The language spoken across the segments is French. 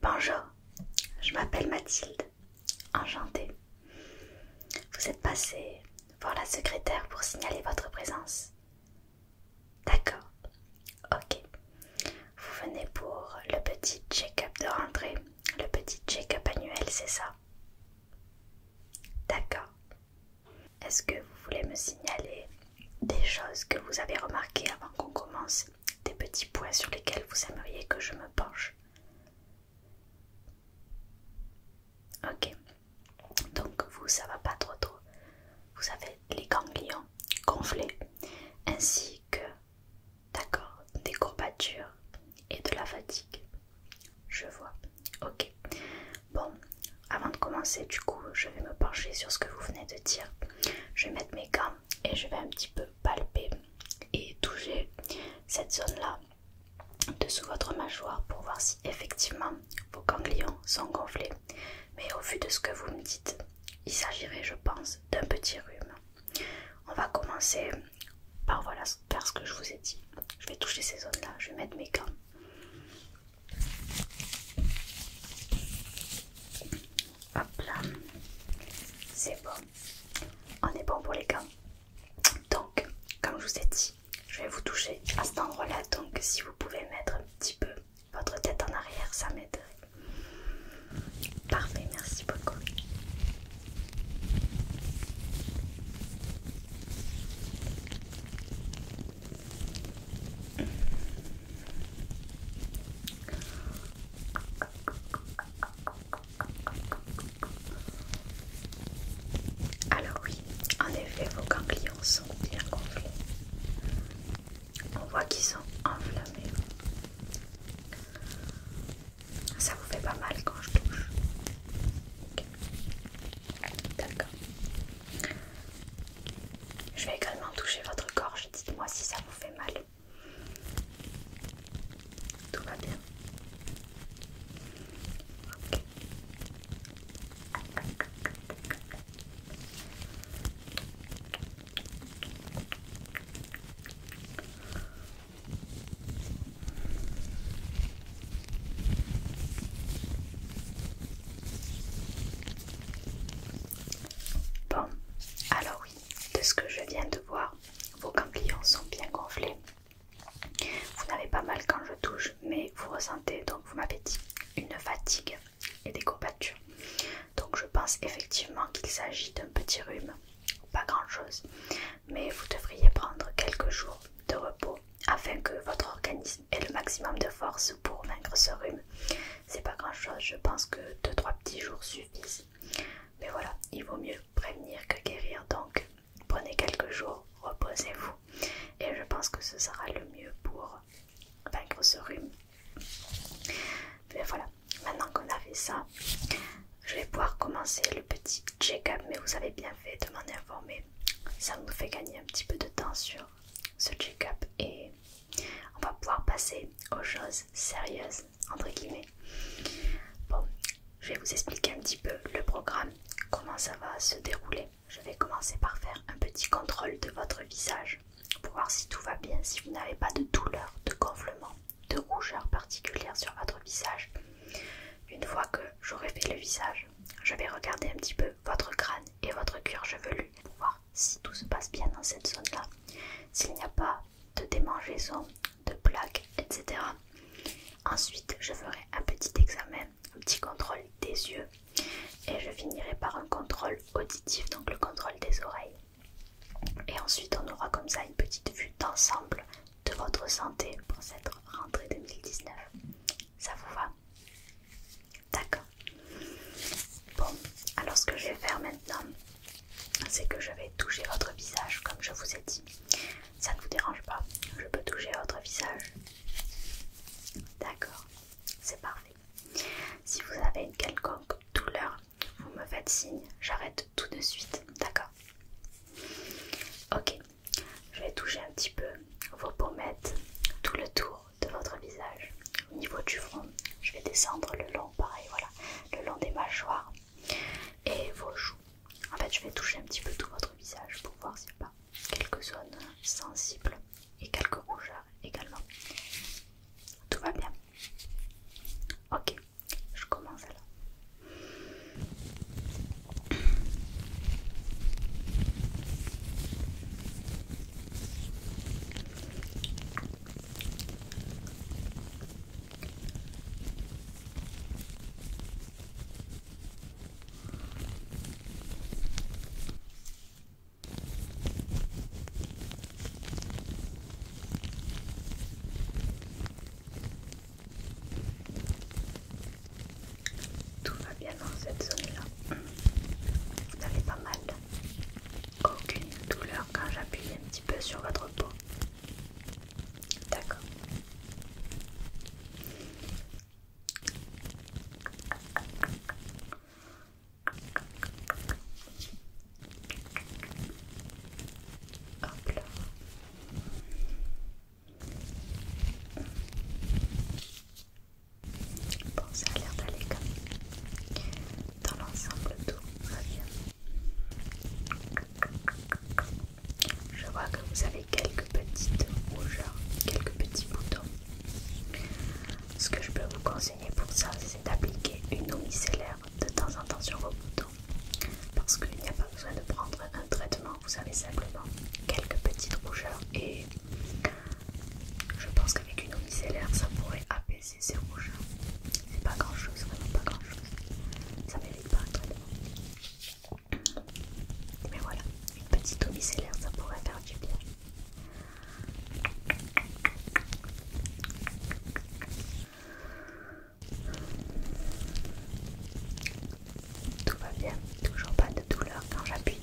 Bonjour, je m'appelle Mathilde, enchantée. Vous êtes passé voir la secrétaire pour signaler votre présence. D'accord, ok. Vous venez pour le petit check-up de rentrée, le petit check-up annuel, c'est ça D'accord. Est-ce que vous voulez me signaler des choses que vous avez remarquées avant qu'on commence des petits points sur lesquels vous aimeriez que je me penche. Ok, donc vous ça va pas trop trop. Vous avez les ganglions gonflés ainsi que, d'accord, des courbatures et de la fatigue. Je vois. Ok. Bon, avant de commencer, du coup, je vais me pencher sur ce que vous venez de dire. Je vais mettre mes gants et je vais un petit peu palper et toucher cette zone là dessous votre mâchoire pour voir si effectivement vos ganglions sont gonflés. Mais au vu de ce que vous me dites, il s'agirait je pense d'un petit rhume. On va commencer par voilà, faire ce que je vous ai dit. Je vais toucher ces zones là, je vais mettre mes gants. Hop là. C'est bon. On est bon pour les gants. Donc, comme je vous ai dit, je vais vous toucher à cet endroit-là. Donc, si vous pouvez mettre un petit peu votre tête en arrière, ça m'aiderait. Parfait, merci beaucoup. Alors oui, en effet, vos ganglions sont bien gonflés. On voit qu'ils sont enflammés. Ça vous fait pas mal quand je touche. D'accord. Je vais également toucher votre gorge. Dites-moi si ça vous fait mal. Tout va bien Bon, alors de ce que je viens de voir, vos ganglions sont bien gonflés. Vous n'avez pas mal quand je touche, mais vous ressentez, donc vous m'avez dit, une fatigue et des courbatures. Donc je pense effectivement qu'il s'agit d'un petit rhume, pas grand-chose, mais vous devriez prendre quelques jours de repos afin que votre organisme ait le maximum de force pour vaincre ce rhume c'est pas grand chose, je pense que 2-3 petits jours suffisent. Mais voilà, il vaut mieux prévenir que guérir, donc prenez quelques jours, reposez-vous, et je pense que ce sera le mieux pour vaincre ce rhume. Mais voilà, maintenant qu'on a fait ça, je vais pouvoir commencer le petit check-up, mais vous avez bien fait de m'en informer. Ça nous fait gagner un petit peu de temps sur ce check-up et on va pouvoir passer aux choses sérieuses, entre guillemets. Bon, je vais vous expliquer un petit peu le programme, comment ça va se dérouler. Je vais commencer par faire un petit contrôle de votre visage pour voir si tout va bien, si vous n'avez pas de douleur, de gonflement, de rougeur particulière sur votre visage. Une fois que j'aurai fait le visage, je vais regarder un petit peu votre crâne et votre cuir chevelu pour voir si tout se passe bien dans cette zone-là, s'il n'y a pas de démangeaison, de plaques, etc. Ensuite, je ferai un petit examen, un petit contrôle des yeux et je finirai par un contrôle auditif, donc le contrôle des oreilles. Et ensuite, on aura comme ça une petite vue d'ensemble de votre santé pour cette rentrée 2019. Ça vous va D'accord. Bon, alors ce que je vais faire maintenant, c'est que je vais toucher votre visage comme je vous ai dit. Ça ne vous dérange pas, je peux toucher votre visage. D'accord, c'est parfait. Si vous avez une quelconque douleur, vous me faites signe, j'arrête tout de suite. D'accord Ok, je vais toucher un petit peu vos pommettes, tout le tour de votre visage, au niveau du front. Je vais descendre le long pareil, voilà, le long des mâchoires et vos joues. En fait, je vais toucher un petit peu tout votre visage pour voir s'il n'y a pas quelques zones sensibles et quelques rougeurs également. Tout va bien. Ok, je commence alors. Tout va bien dans cette zone-là. Vous pas mal. Aucune douleur quand j'appuie un petit peu sur votre peau d'accord Hop là. Bon, ça a l'air d'aller comme dans l'ensemble tout Je vois que vous avez quelques petites rougeurs, quelques petits boutons. Ce que je peux vous conseiller pour ça, c'est d'appliquer une eau micellaire de temps en temps sur vos boutons. Parce qu'il n'y a pas besoin de prendre un traitement, vous avez simplement quelques petites rougeurs et je pense qu'avec une eau micellaire, ça pourrait apaiser c'est rouge. Hein. C'est pas grand chose, vraiment pas grand chose. Ça mérite pas un traitement. Mais voilà, une petite eau ça pourrait faire du bien. Tout va bien, toujours pas de douleur quand j'appuie.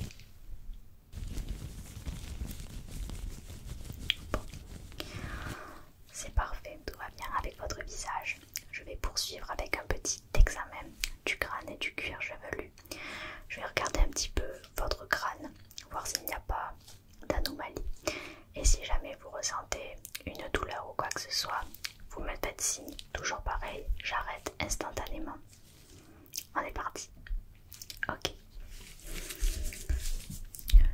C'est parfait, tout va bien avec votre visage. Je vais poursuivre avec un petit examen du crâne et du cuir chevelu. Je vais regarder un petit peu votre crâne, voir s'il n'y a pas d'anomalie. Et si jamais vous ressentez une douleur ou quoi que ce soit, vous me faites signe. Toujours pareil, j'arrête instantanément. On est parti. Ok.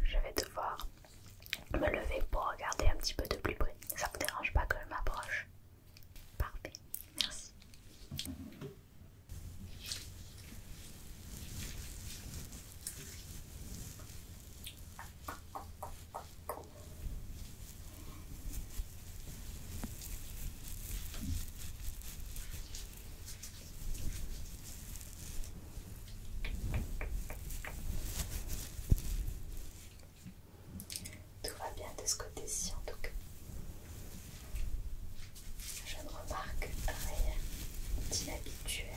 Je vais devoir me lever pour regarder un petit peu de plus près. Ça vous dérange pas que je m'approche Parfait, merci. Tout va bien de ce côté-ci en tout cas. Je ne remarque rien d'inhabituel.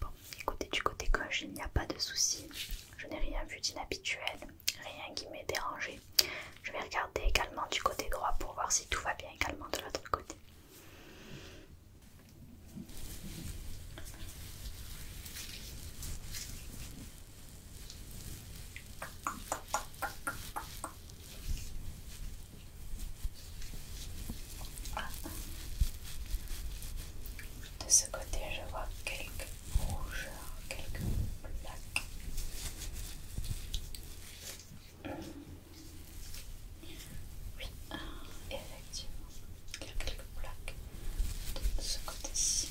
Bon, écoutez, du côté gauche, il n'y a pas de souci. Je n'ai rien vu d'inhabituel, rien qui m'ait dérangé. Je vais regarder également du côté droit pour voir si tout va bien également de l'autre côté. De ce côté, je vois quelques rougeurs, quelques plaques. Oui, euh, effectivement, il y a quelques plaques de ce côté-ci.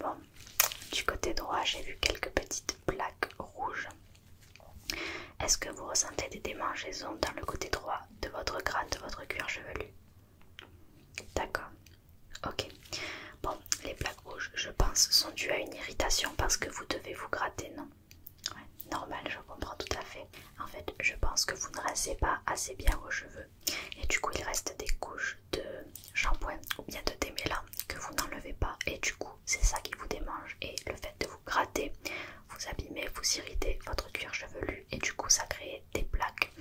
Bon, du côté droit, j'ai vu quelques petites plaques rouges. Est-ce que vous ressentez des démangeaisons dans le côté droit de votre crâne, de votre cuir chevelu D'accord. Ok. Bon, les plaques rouges, je pense, sont dues à une irritation parce que vous devez vous gratter, non Ouais, normal, je comprends tout à fait. En fait, je pense que vous ne rincez pas assez bien vos cheveux. Et du coup, il reste des couches de shampoing ou bien de démêlant que vous n'enlevez pas et du coup c'est ça qui vous démange et le fait de vous gratter vous abîmez, vous irritez votre cuir chevelu et du coup ça crée des plaques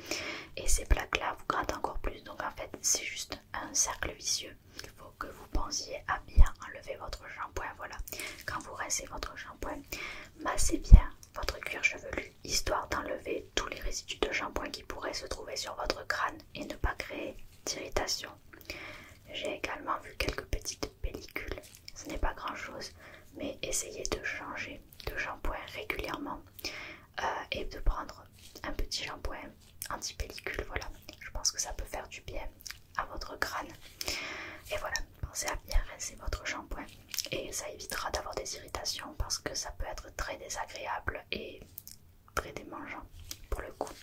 et ces plaques là vous grattent encore plus donc en fait c'est juste un cercle vicieux il faut que vous pensiez à bien enlever votre shampoing voilà quand vous rincez votre shampoing massez bien votre cuir chevelu histoire d'enlever tous les résidus de shampoing qui pourraient se trouver sur votre crâne et ne pas créer d'irritation j'ai également vu quelques petites pellicules. Ce n'est pas grand-chose, mais essayez de changer de shampoing régulièrement euh, et de prendre un petit shampoing anti-pellicule. Voilà, je pense que ça peut faire du bien à votre crâne. Et voilà, pensez à bien rincer votre shampoing et ça évitera d'avoir des irritations parce que ça peut être très désagréable et très démangeant pour le coup.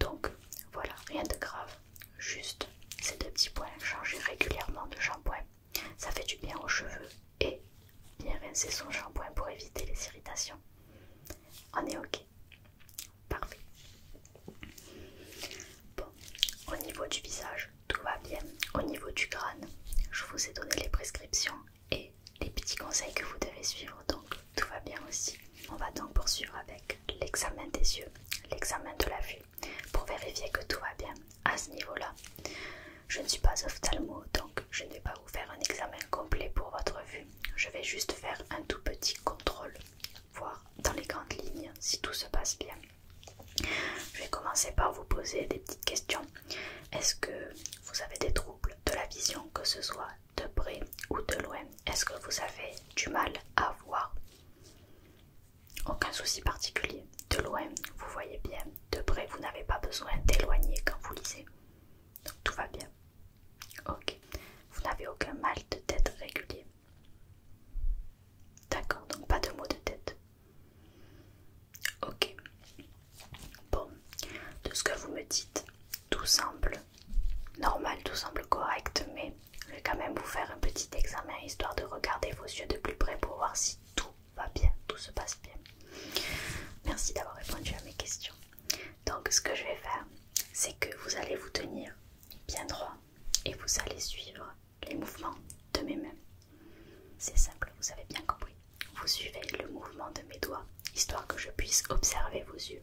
Donc voilà, rien de grave, juste ces deux petits points, changer régulièrement de shampoing. Ça fait du bien aux cheveux et bien rincer son shampoing pour éviter les irritations. On est ok. Parfait. Bon, au niveau du visage, tout va bien. Au niveau du crâne, je vous ai donné les prescriptions et les petits conseils que vous devez suivre, donc tout va bien aussi. On va donc poursuivre avec l'examen des yeux, l'examen de la vue, pour vérifier que tout va bien à ce niveau-là. Je ne suis pas ophtalmo, donc je ne vais pas vous faire un examen complet pour votre vue. Je vais juste faire un tout petit contrôle, voir dans les grandes lignes si tout se passe bien. Je vais commencer par vous poser des petites questions. Est-ce que vous avez des troubles de la vision, que ce soit de près ou de loin Est-ce que vous avez du mal à voir Aucun souci particulier. De loin, vous voyez bien. De près, vous n'avez pas besoin d'éloigner quand vous lisez. Donc tout va bien. Ok. Vous n'avez aucun mal de tête régulier. D'accord, donc pas de mots de tête. Ok. Bon, de ce que vous me dites, tout simple, normal, tout semble correct, mais je vais quand même vous faire un petit examen histoire de regarder vos yeux de plus près pour voir si tout va bien, tout se passe bien. Merci d'avoir répondu à mes questions. Donc ce que je vais faire, c'est que vous allez vous tenir bien droit et vous allez suivre les mouvements de mes mains. C'est simple, vous avez bien compris. Vous suivez le mouvement de mes doigts, histoire que je puisse observer vos yeux.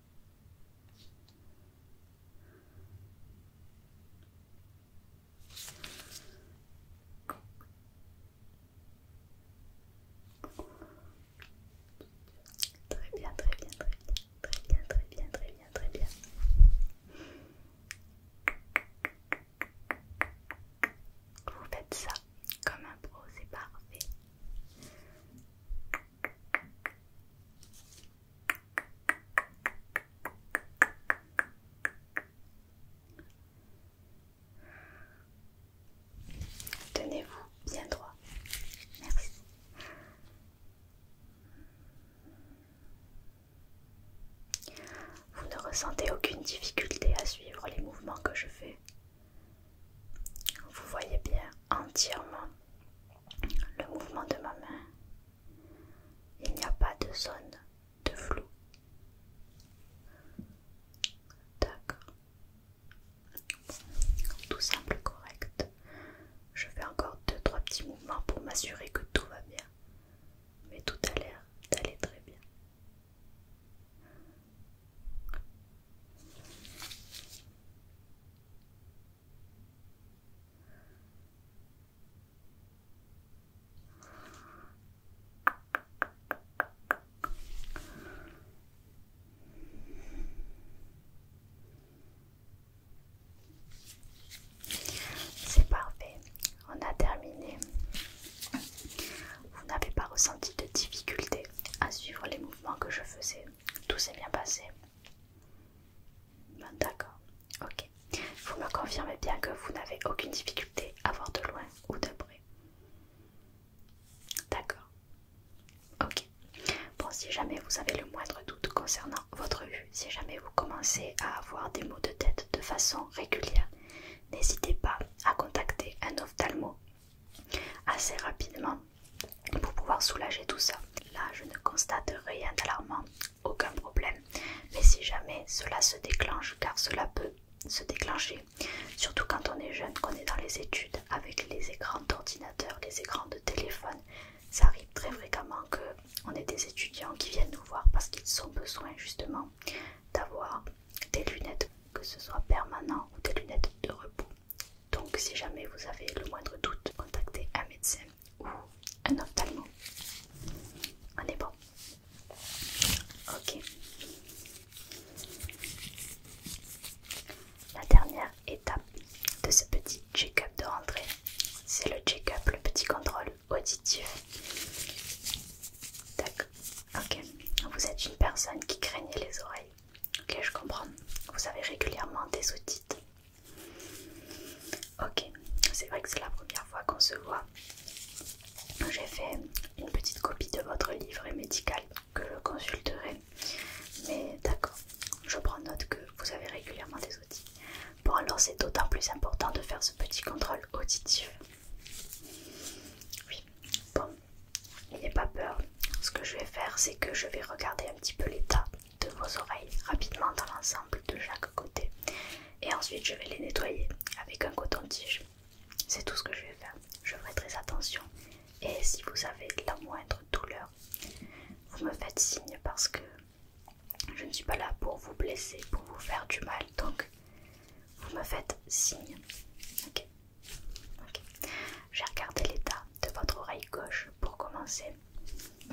Très bien, très bien, très bien, très bien, très bien, très bien, très bien. Vous faites ça comme un pro, c'est parfait. Tenez-vous bien droit. Merci. Vous ne ressentez aucune difficulté à suivre les mouvements que je fais. Vous voyez bien entièrement le mouvement de ma main. Il n'y a pas de zone de flou. D'accord. Tout simple, correct. Je fais encore deux trois petits mouvements pour m'assurer que tout va bien. Mais tout a l'air d'aller très bien. C'est parfait, on a terminé. Vous n'avez pas ressenti de difficulté à suivre les mouvements que je faisais. Tout s'est bien passé. Ah, d'accord, ok. Vous me confirmez bien que vous n'avez aucune difficulté à voir de loin ou de près. D'accord. Ok. Bon, si jamais vous avez le moindre doute concernant votre vue, si jamais vous commencez à avoir des maux de tête de façon régulière, n'hésitez pas à contacter un ophtalmo assez rapidement pour pouvoir soulager tout ça. Là, je ne constate rien d'alarmant, aucun problème. Mais si jamais cela se déclenche, car cela peut se déclencher, surtout quand on est jeune, qu'on est dans les études, avec les écrans d'ordinateur, les écrans de téléphone, ça arrive très fréquemment qu'on ait des étudiants qui viennent nous voir parce qu'ils ont besoin justement d'avoir des lunettes, que ce soit permanent ou des lunettes de repos. Donc si jamais vous avez le moindre doute, contactez un médecin ou un ophtalmo. On est bon. Ok. La dernière étape de ce petit check-up de rentrée, c'est le check-up, le petit contrôle auditif. D'accord. Ok. Vous êtes une personne qui craignait les oreilles. Ok, je comprends. Vous avez régulièrement des otites. Ok, c'est vrai que c'est la première fois qu'on se voit. J'ai fait une petite copie de votre livre médical que je consulterai. Mais d'accord, je prends note que vous avez régulièrement des outils. Bon alors c'est d'autant plus important de faire ce petit contrôle auditif. Oui, bon, n'ayez pas peur. Ce que je vais faire, c'est que je vais regarder un petit peu l'état de vos oreilles rapidement dans l'ensemble de chaque côté et ensuite je vais les nettoyer avec un coton-tige. C'est tout ce que je vais faire. Je ferai très attention et si vous avez la moindre douleur, vous me faites signe parce que je ne suis pas là pour vous blesser, pour vous faire du mal. Donc vous me faites signe. Ok. J'ai regardé l'état de votre oreille gauche pour commencer.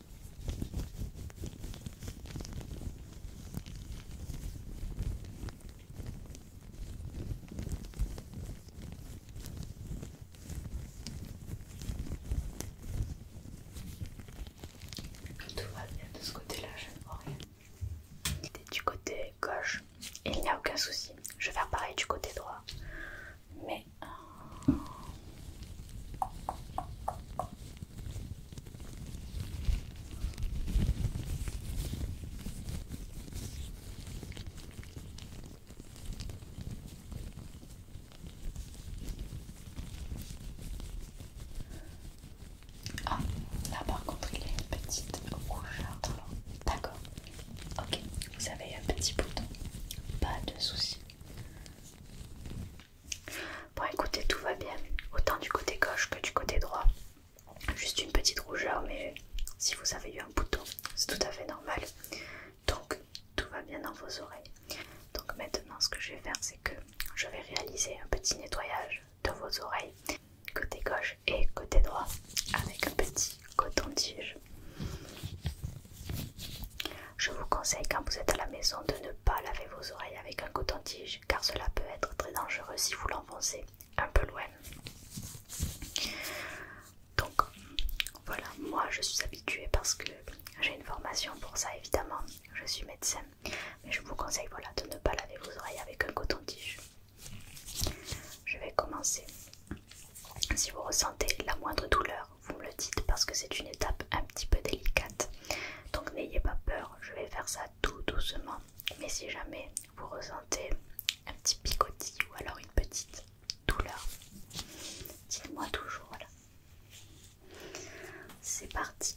Tout va bien de ce côté-là, je ne vois rien. Du côté gauche, il n'y a aucun souci. Je vais faire pareil du côté droit. Mais... Euh, ah, là par contre il y a une petite rouge D'accord. Ok, vous avez un petit bouton, pas de souci. Bon écoutez, tout va bien, autant du côté gauche que du côté droit. Juste une petite rougeur, mais si vous avez eu un bouton, c'est tout à fait normal. Donc tout va bien dans vos oreilles. Donc maintenant ce que je vais faire, c'est que je vais réaliser un petit nettoyage de vos oreilles, côté gauche et côté droit, avec un petit coton-tige. Je vous conseille quand vous êtes à la maison de ne pas laver vos oreilles avec un coton-tige car cela peut être très dangereux si vous l'enfoncez un peu loin. Donc voilà, moi je suis habituée parce que j'ai une formation pour ça évidemment, je suis médecin, mais je vous conseille voilà, de ne pas laver vos oreilles avec un coton-tige. Je vais commencer. Si vous ressentez la moindre douleur, vous me le dites parce que c'est une étape un petit peu délicate. Donc n'ayez pas peur je vais faire ça tout doucement, mais si jamais vous ressentez un petit picotis ou alors une petite douleur, dites-moi toujours. C'est parti.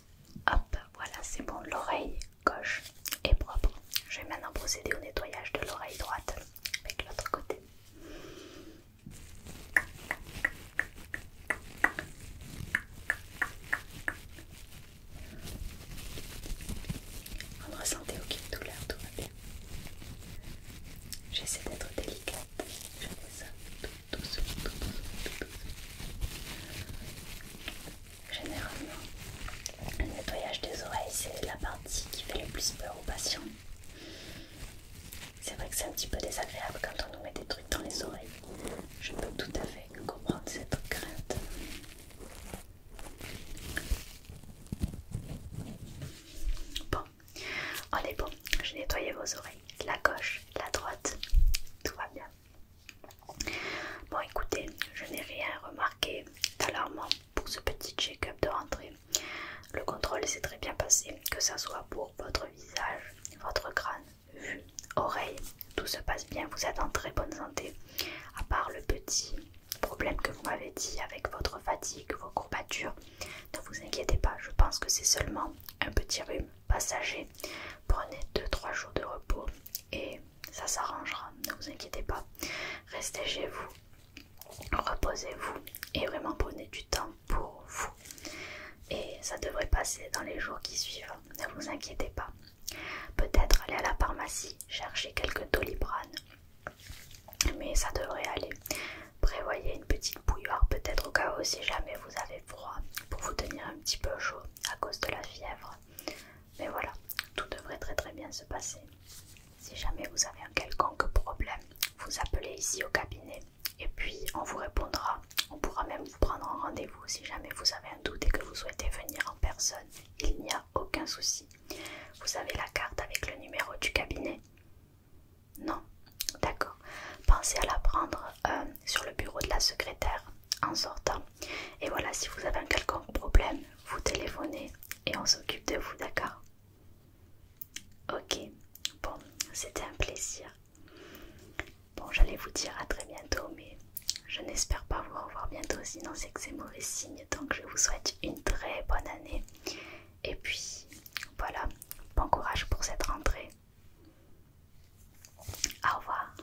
Hop, voilà, c'est bon, l'oreille gauche est propre. Je vais maintenant procéder au nettoyage de l'oreille droite avec l'autre côté. Vous ne ressentez aucune douleur, tout va bien. J'essaie d'être délicate. Je fais ça tout doucement, tout doucement, tout doucement. Généralement, le nettoyage des oreilles, c'est la partie qui fait le plus peur aux patients. C'est vrai que c'est un petit peu désagréable quand on nous met des trucs dans les oreilles. Je peux tout à fait comprendre cette crainte. Bon, on est bon. J'ai nettoyé vos oreilles, la gauche, la droite, tout va bien. Bon, écoutez, je n'ai rien remarqué d'alarmant pour ce petit check-up de rentrée. Le contrôle s'est très bien passé, que ce soit pour votre visage, votre crâne, vue, oreille. Tout se passe bien, vous êtes en très bonne santé. À part le petit problème que vous m'avez dit avec votre fatigue, vos courbatures, ne vous inquiétez pas, je pense que c'est seulement un petit rhume passager. Prenez 2-3 jours de repos et ça s'arrangera, ne vous inquiétez pas. Restez chez vous, reposez-vous et vraiment prenez du temps pour vous. Et ça devrait passer dans les jours qui suivent, ne vous inquiétez pas. Peut-être aller à la pharmacie, chercher quelques doliprane, mais ça devrait aller. Prévoyez une petite bouilloire, peut-être au cas où si jamais vous avez froid, pour vous tenir un petit peu chaud à cause de la fièvre. Mais voilà, tout devrait très très bien se passer. Si jamais vous avez un quelconque problème, vous appelez ici au cabinet et puis on vous répondra. On pourra même vous prendre un rendez-vous si jamais vous avez un doute et que vous souhaitez venir en personne. Il n'y a aucun souci. Vous avez la carte avec le numéro du cabinet Non D'accord. Pensez à la prendre euh, sur le bureau de la secrétaire en sortant. Et voilà, si vous avez un quelconque problème, vous téléphonez et on s'occupe de vous, d'accord Ok, bon, c'était un plaisir. Bon, j'allais vous dire à très bientôt, mais je n'espère pas vous revoir bientôt, sinon c'est que c'est mauvais signe. Donc, je vous souhaite une très bonne année. Et puis, voilà, bon courage pour cette rentrée. Au revoir.